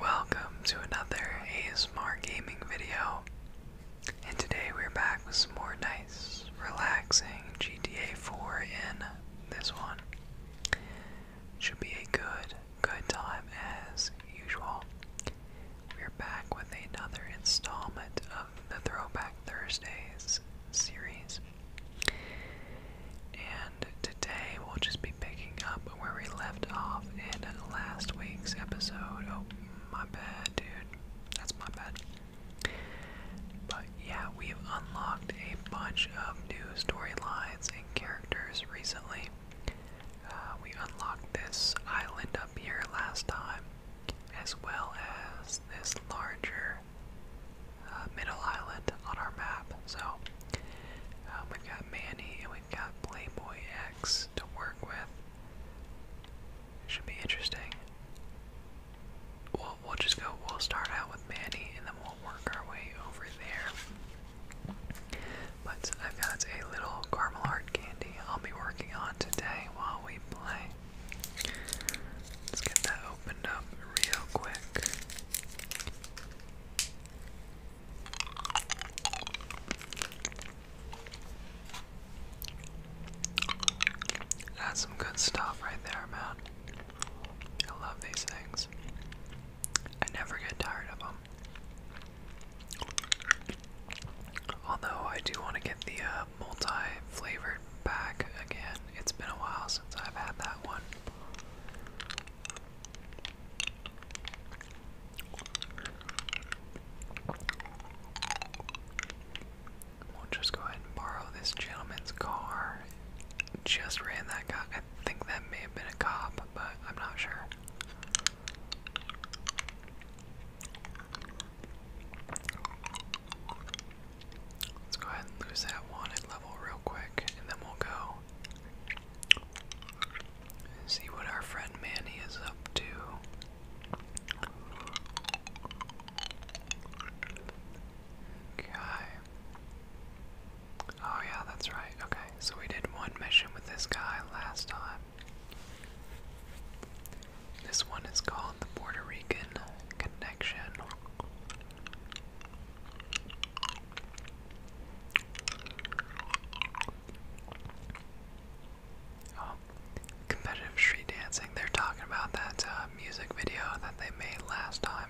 Welcome to another ASMR gaming video. And today we're back with some more nice, relaxing GTA 4 in this one. Should be a good, good time as usual. We're back with another installment of the Throwback Thursdays series. And today we'll just be picking up where we left off in last week's episode. Oh, my bad, dude. That's my bad. But yeah, we've unlocked a bunch of new storylines and characters recently. Uh, we unlocked this island up here last time, as well as this larger uh, middle island on our map. So um, we got Manny and we got Playboy X to work with. Should be interesting. We'll, we'll just go, we'll start out with Manny and then we'll work our way over there. But I've got a little caramel heart candy I'll be working on today while we play. Let's get that opened up real quick. That's some good stuff right there, man. I love these things. I never get tired of them. Although I do want to get the uh, multi-flavored back again. It's been a while since I've had that one. We'll just go ahead and borrow this gentleman's car. Just ran that guy. I think that may have been a cop, but I'm not sure. Let's go ahead and lose that wanted level real quick, and then we'll go See what our friend Manny is up to. Okay. Oh, yeah, that's right. Okay, so we did one mission with this guy last time. This one is called the Puerto Rican Connection. Oh, competitive street dancing. They're talking about that uh, music video that they made last time.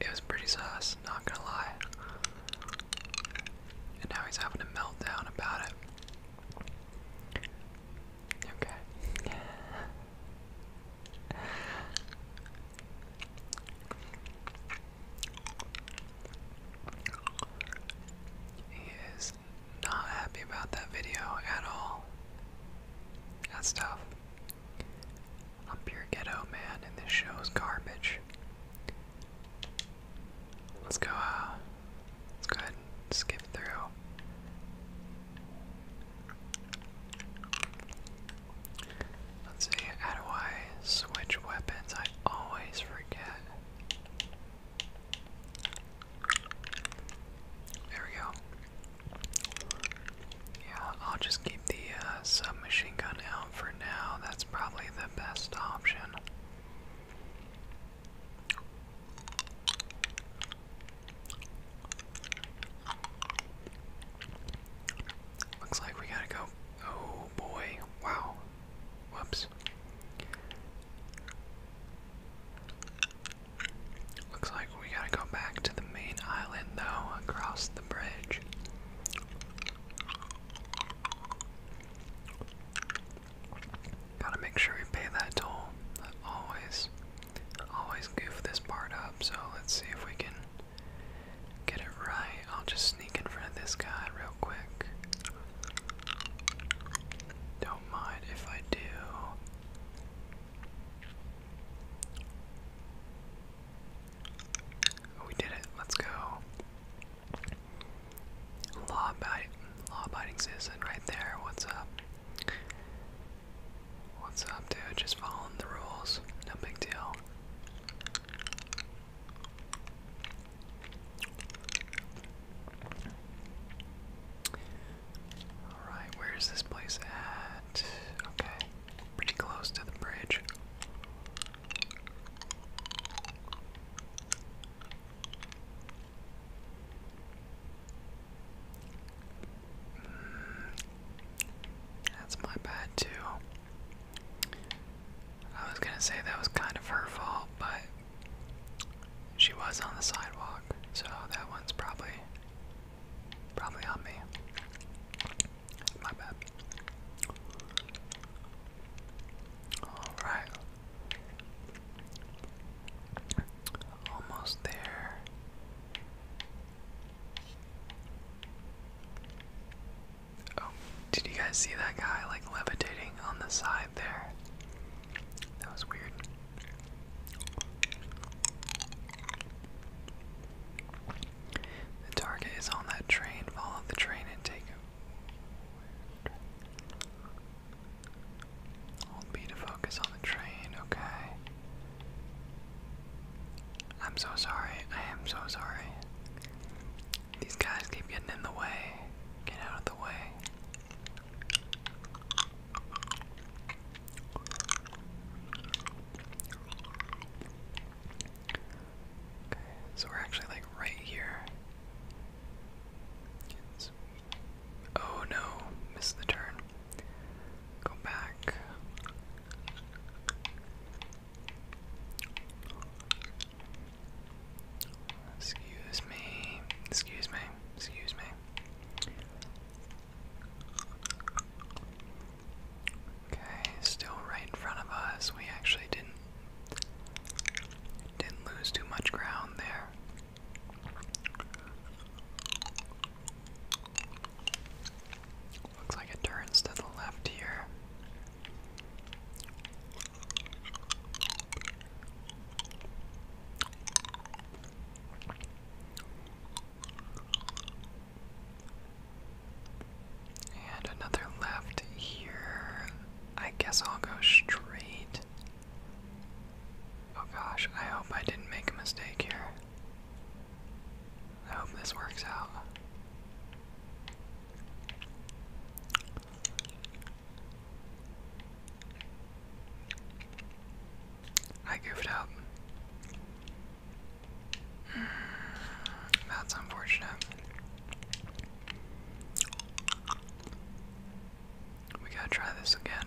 It was pretty sauce, not gonna lie. And now he's having a meltdown about it. Okay. He is not happy about that video at all. That's tough. I'm pure ghetto, man, and this show is garbage. Let's go, uh, let's go ahead skip through. Let's see, how do I switch weapons? I always forget. There we go. Yeah, I'll just keep the uh, submachine gun out for now. That's probably the best option. Looks like we gotta go Oh, boy. Wow. Whoops. Looks like we gotta go back to the main island though, across the bridge. Gotta make sure we pay that toll. always, always goof this part up. So let's see if we can get it right, I'll just sneak in front of this guy real quick. Don't mind if I do. Oh, we did it. Let's go. Law abiding, law abiding citizen right there. What's up? What's up, dude? Just following the rules. No big deal. Alright, where is this place at? Okay, pretty close to the bridge. Hmm, that's my bad, too. I was gonna say that was kind of her fault, but she was on the sidewalk, so that one's probably probably on me. My bad. Alright. Almost there. Oh, did you guys see that guy like levitating on the side there? That was weird. The target is on that train. Follow the train and take Hold B to focus on the train. Okay. I'm so sorry. I am so sorry. These guys keep getting in the way. Get out of the way. Okay, so we're actually like right here. oh no, missed the turn. Go back. Excuse me. Excuse me. Excuse me. Okay, still right in front of us. We actually didn't didn't lose too much ground there. Looks like it turns to the left here. And another left here. I guess I'll go straight. Oh gosh, I hope I didn't make a mistake here. I hope this works out. I goofed up. That's unfortunate. We gotta try this again.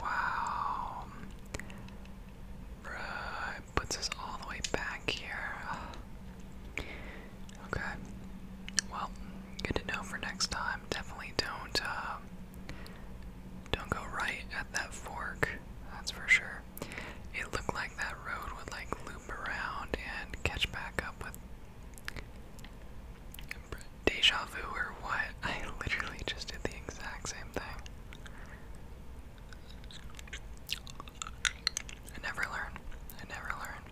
Wow puts us all the way back here. Okay. Well, good to know for next time. Definitely don't uh, don't go right at that fork. That's for sure. It looked like that road would like loop around and catch back up with deja vu or what? I literally just did the exact same thing. I never learn. I never learn.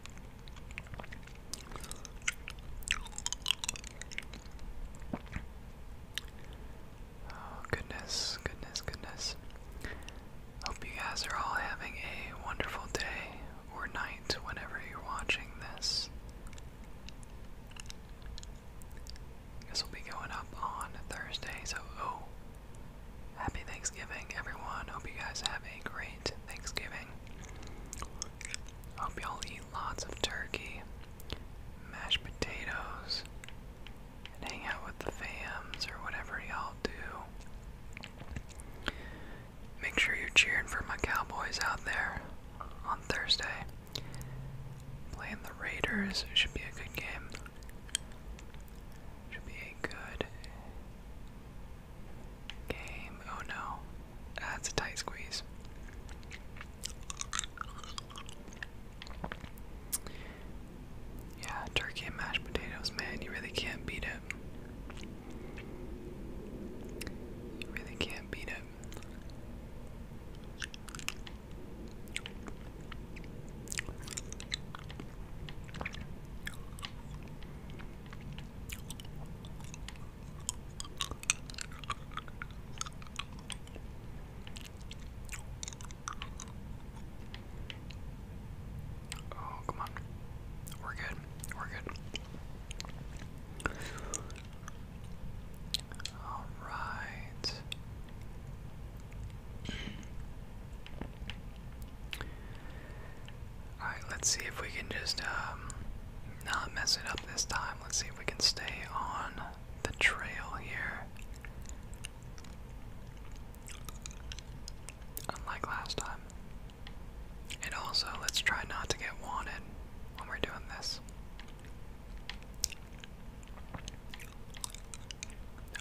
Oh, goodness, goodness, goodness. Hope you guys are all having a wonderful day or night whenever you're watching this. This will be going up on Thursday, so oh, Happy Thanksgiving, everyone. Hope you guys have a great Thanksgiving. Hope y'all eat lots of turkey, mashed potatoes, and hang out with the fams or whatever y'all do. Make sure you're cheering for my Cowboys out there on Thursday. Playing the Raiders should be a good game. Should be a good game. Oh no, that's a tight squeeze. Yeah, turkey and mashed potatoes, man, you really can't beat it. You really can't beat it. Oh, come on. We're good. We're good. All right. Alright, let's see if we can just um, not mess it up this time. Let's see if we can stay on the trail here. Unlike last time. And also, let's try not to get wanted when we're doing this.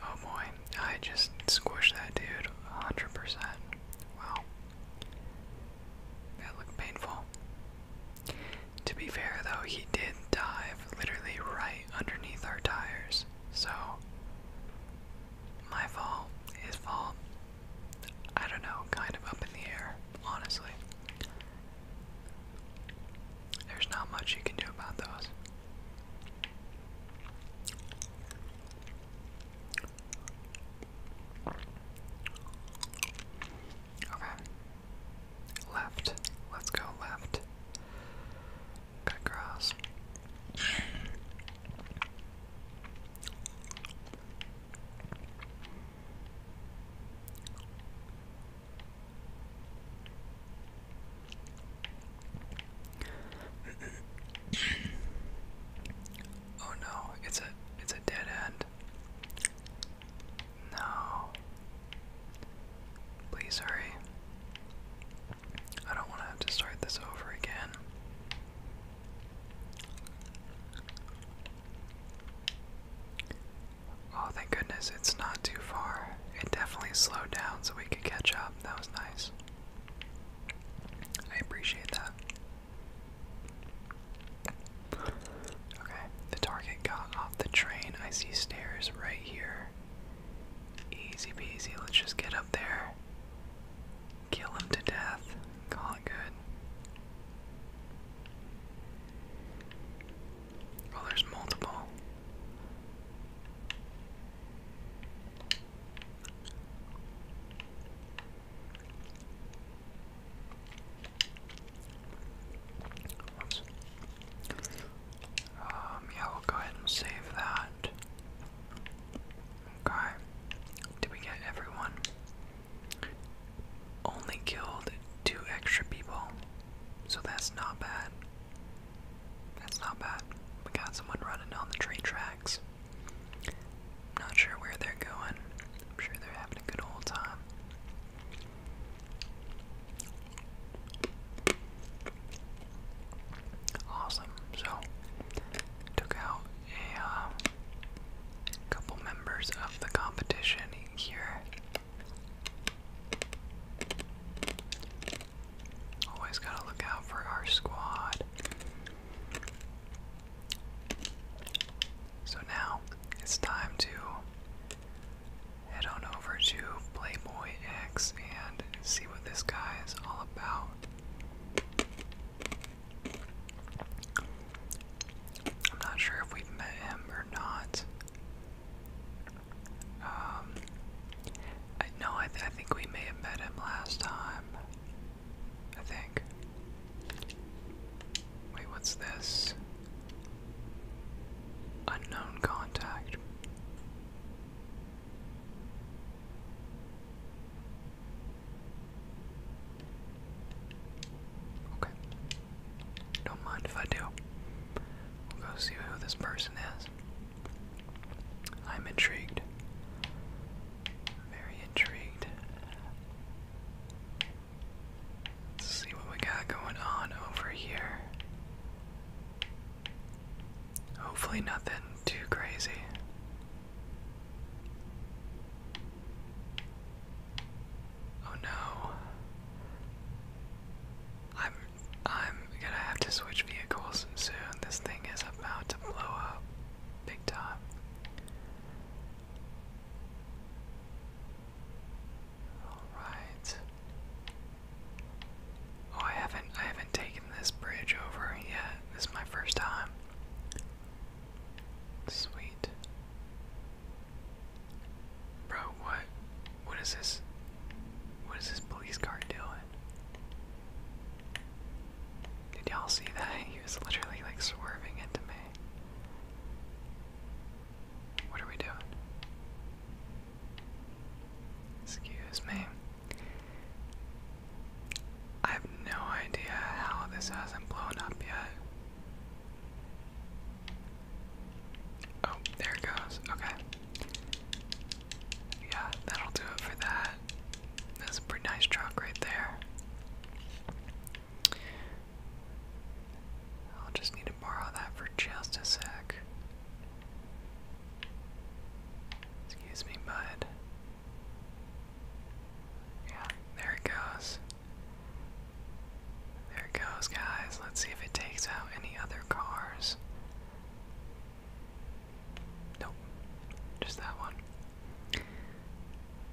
Oh boy, I just squished that dude 100%. Wow. That looked painful. To be fair though, he did dive literally right underneath our tires. So, my fault, his fault, I don't know, kind of up in the air, honestly. There's not much you can do about those. Okay. Left. Let's go left. Cut grass oh no, it's a it's a dead end. No. Please hurry. I don't want to have to start this over again. Oh, thank goodness, it's not too far. It definitely slowed down so we could catch up. That was nice. I appreciate that. Okay, the target got off the train. I see stairs right here. Easy peasy, let's just get up there. Kill him to death. Call it good. Oh, there's multiple. Um, yeah, we'll go ahead and save that. Okay. Did we get everyone? Only killed two extra people. So that's not bad. That's not bad. We got someone running on the train tracks. Not sure where they're going. I'm sure they're having a good old time. Awesome. So, took out a uh, couple members of the competition here. Always gotta look out for our squad. So now it's time to head on over to Playboy X and see what this guy is all about. I'm not sure if we met him or not. Um, I, no, I think we may have met him last time. I think. Wait, what's this? Unknown contact. Okay. Don't mind if I do. We'll go see who this person is. I'm intrigued. Very intrigued. see what we got going on over here. Hopefully, nothing too crazy. Oh no. I'm I'm gonna have to switch vehicles soon. This thing is about to blow up big time. Alright. Oh I haven't I haven't taken this bridge over yet. This is my first time. Sweet. Bro, what what is this? What is this police car doing? Did y'all see that? He was literally like swerving into me. What are we doing? Excuse me. I have no idea how this hasn't blown up yet. Oh, there it goes. Okay. Yeah, that'll do it for that. That's a pretty nice truck right there. I'll just need to borrow that for just a sec. Excuse me, bud. Yeah, there it goes. There it goes, guys. Let's see if it takes out any other cars. Nope. Just that one.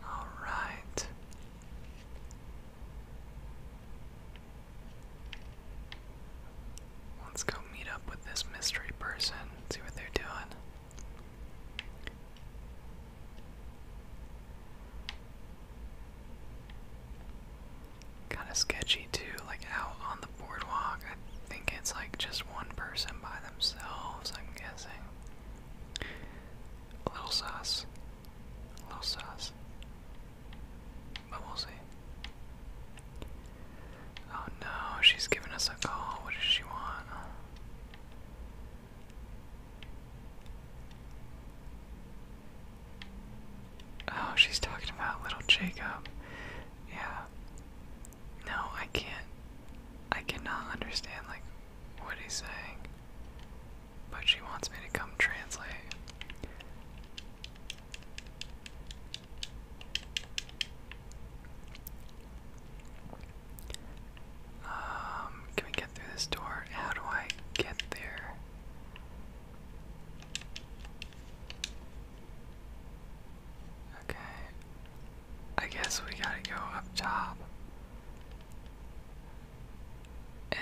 Alright. Let's go meet up with this mystery person, see what they're doing kind of sketchy too, like out on the boardwalk. I think it's like just one person by themselves, I'm guessing. A little sus. A little sus. But we see. Oh no, she's giving us a call. What does she want? Oh, she's talking about little Jacob. Yeah. No, I can't. I cannot understand, like, what he's saying. But she wants me to come translate. Um, can we get through this door? How do I get there? Okay. I guess we gotta go up top. And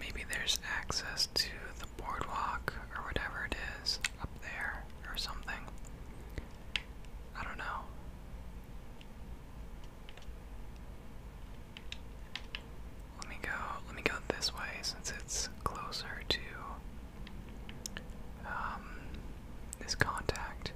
maybe there's access to the boardwalk or whatever it is up there or something. I don't know. Let me go let me go this way since it's closer to um, this contact.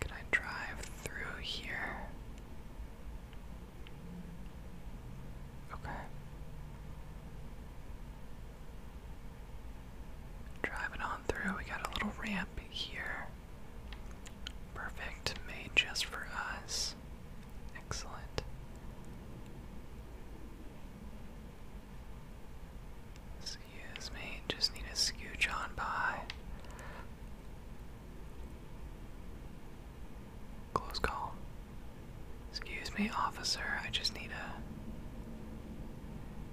Can I drive through here? Okay. Driving on through, we got a little ramp here. Perfect, made just for us. Excellent. Excuse me, just need to scooch on by. Close call. Excuse me, officer, I just need a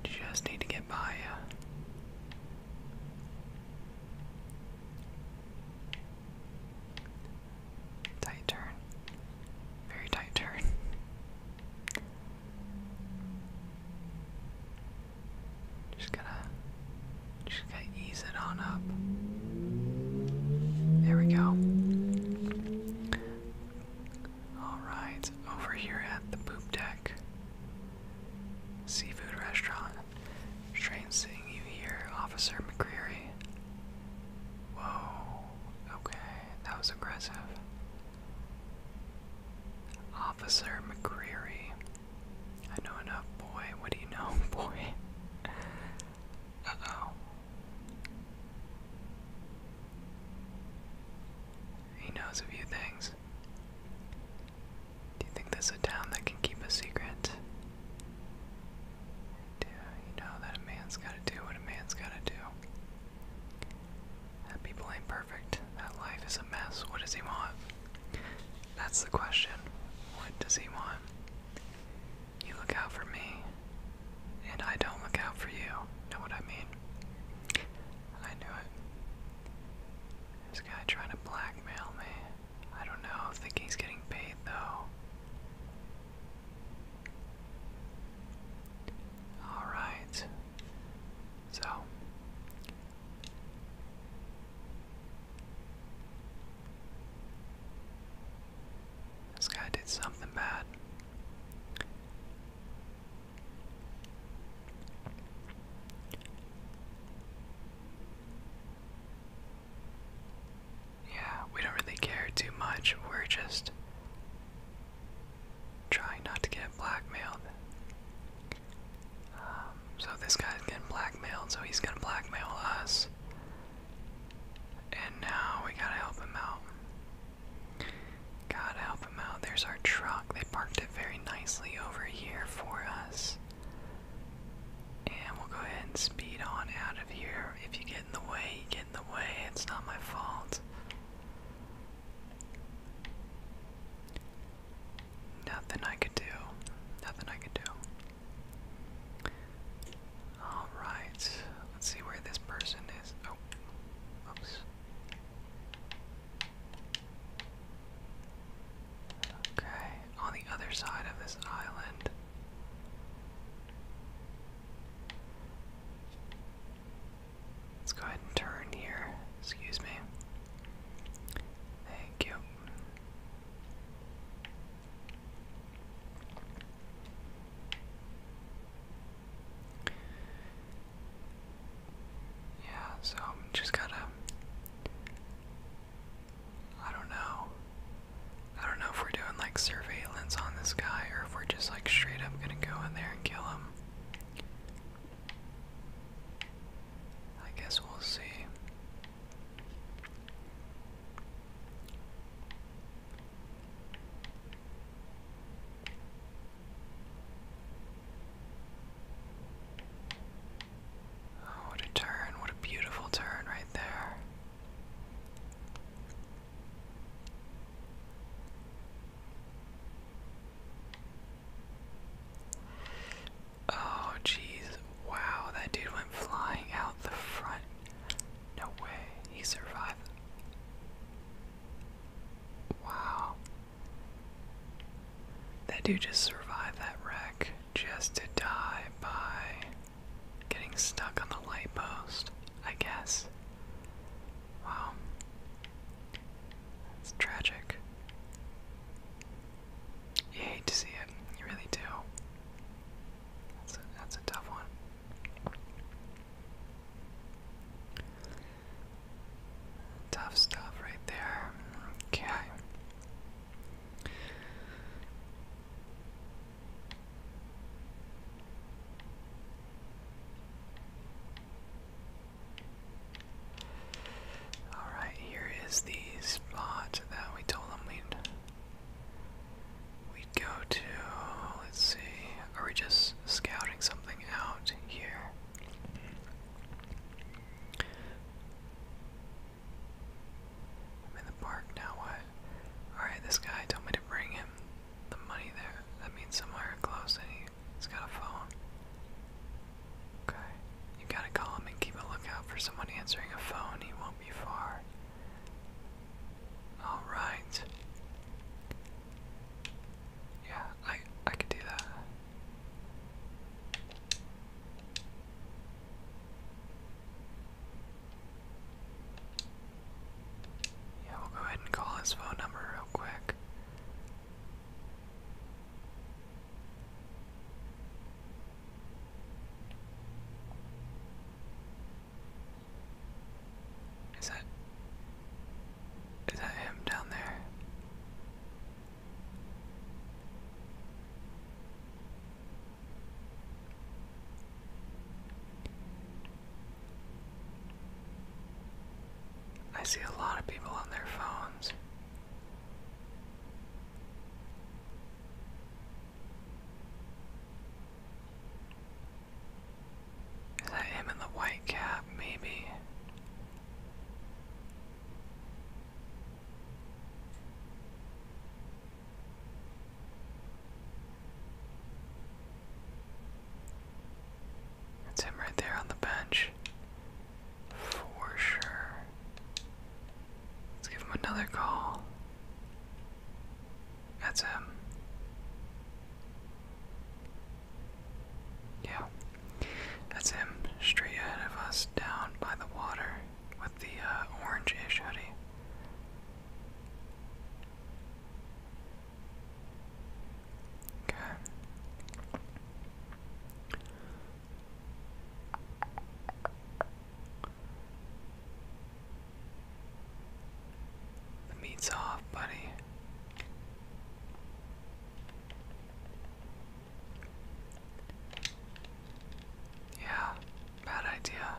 just need to get by you. Tight turn. Very tight turn. Just gotta just gotta ease it on up. There we go. Alright, over here at the poop deck. Seafood restaurant. Strange seeing you here, Officer McCreary. Whoa, okay, that was aggressive. Officer McCreary. I know enough, boy. What do you know, boy? Uh oh. He knows a few things. Do you think this is a town that can keep a secret? Do you know that a man's gotta do what a man's gotta do? That people ain't perfect. That life is a mess. What does he want? That's the question. What does he want? You look out for me, and I don't look out for you. Know what I mean? I knew it. This guy trying to blackmail me. I don't know. I think he's getting paid though. Alright. So. This guy did something bad. Yeah, we don't really care too much. We're just trying not to get blackmailed. Um, so this guy's getting blackmailed, so he's gonna blackmail us. And now we gotta help him out. Gotta help him out. There's our truck. They parked it very nicely over here for us. And we'll go ahead and speed on out of here. If you get in the way, you get in the way. It's not my fault. Nothing I could do. Nothing I could do. Alright. Let's see where this person is. Oh, oops. Okay, on the other side of this island. Let's go ahead and turn here. Excuse me. Thank you. Yeah, so I'm just gotta. just got to i do not know. I don't know if we're doing like surveillance on this guy or if we're just like straight up gonna go in there and kill him. I guess we'll see. Oh, what a turn. What a beautiful turn right there. Oh, jeez. Wow, that dude went flying out the front. No way. He survived. Wow. That dude just survived that wreck just to die by getting stuck on the light post, I guess. Wow. That's tragic. You hate to see it, you really do. That's that's a tough one. Tough stuff right there. Okay. Alright, here is the spot that we told them we'd we'd go to. Let's see. Are we just scouting something out here? I'm in the park now. What? Alright, this guy told me to bring him the money there. That means somewhere close, and he, he's got a phone. Okay. You gotta call him and keep a lookout for someone answering a phone. He won't be far. Alright. Yeah, I I could do that. Yeah, we'll go ahead and call his phone number real quick. Is that is that him down there? I see a lot of people on their phones. Is that him in the white cap? Maybe. It's him right there on the bench. For sure. Let's give him another call. That's him. Yeah. That's him, straight ahead of us, down by the water, with the uh, orange-ish hoodie. Okay. The meat's off, buddy. Yeah, bad idea.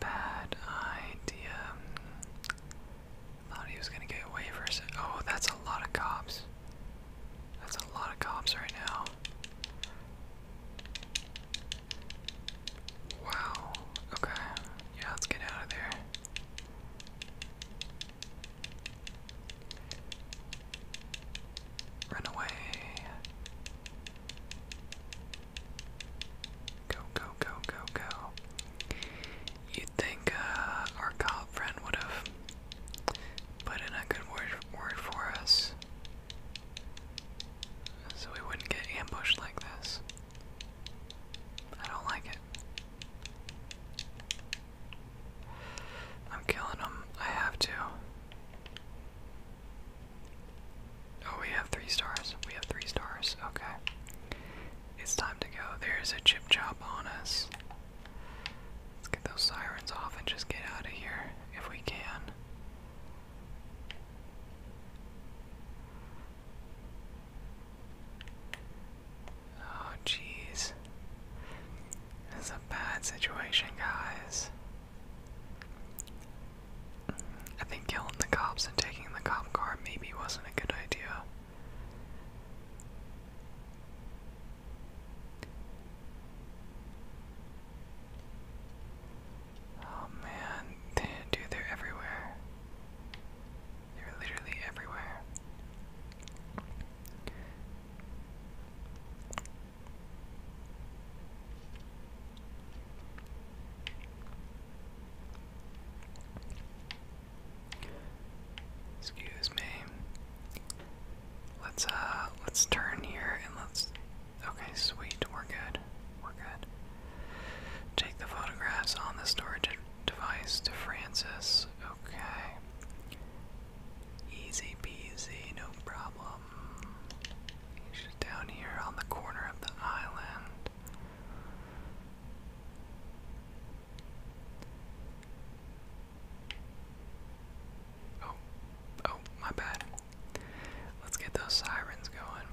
Bad idea. Thought he was gonna get away for Oh, that's a lot of cops. That's a lot of cops right now. Wow. Okay. Yeah, let's get out of there. Run away. Go, go, go, go, go. You'd think uh, our cop friend would have put in a good word, word for us so we wouldn't get ambushed like this. I don't like it. I'm killing him. I have to. Oh, we have three stars. We have three stars. Okay. It's time to go. There's a chip chop on us. Let's get those sirens off and just get out of here if we can. Oh, jeez. This a bad situation, guys. I think killing the cops and taking the cop car maybe wasn't a good idea. Oh man, they, dude, they're everywhere. They're literally everywhere. Excuse me. Let's uh let's turn here and let's okay, sweet, we're good. We're good. Take the photographs on the storage device to Francis. Okay. Easy peasy, no problem. just down here on the corner of the island. Oh, oh, my bad. Let's get those sirens going.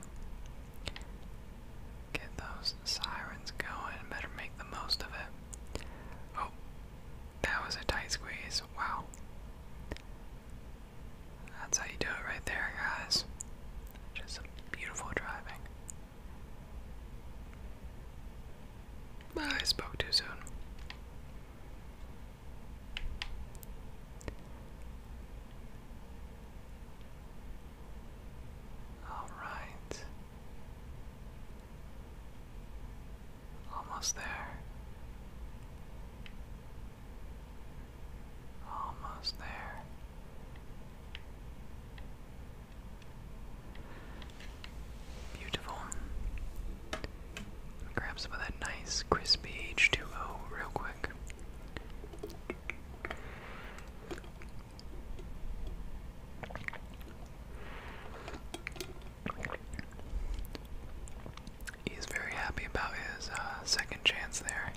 Get those sirens going. Better make the most of it. Oh, that was a tight squeeze. Wow. That's how you do it right there, guys. Just some beautiful driving. I spoke too soon. All right. Almost there. Almost there. Beautiful. Grab some of that nice crispy H2O real quick. He's very happy about his uh, second chance there.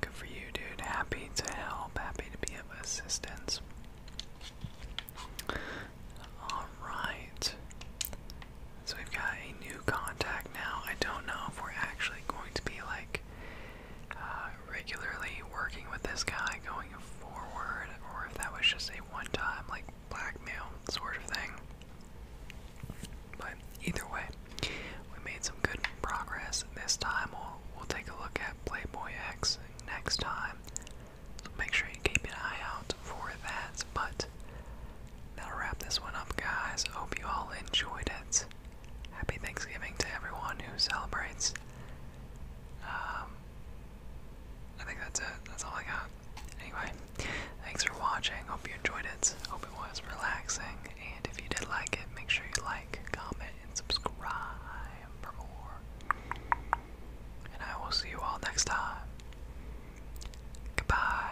Good for you, dude. Happy to help, happy to be of assistance. Alright. So we've got new contact now. I don't know if we're actually going to be like uh, regularly working with this guy going forward, or if that was just a one-time like blackmail sort of thing. But either way, we made some good progress. This time we'll we'll take a look at Playboy X next time. So make sure you keep an eye out for that. But that'll wrap this one up guys. Hope you all enjoyed it. Happy Thanksgiving to everyone who celebrates. Um, I think that's it. That's all I got. Anyway, thanks for watching. Hope you enjoyed it. Hope it was relaxing. And if you did like it, make sure you like, comment, and subscribe for more. And I will see you all next time. Goodbye.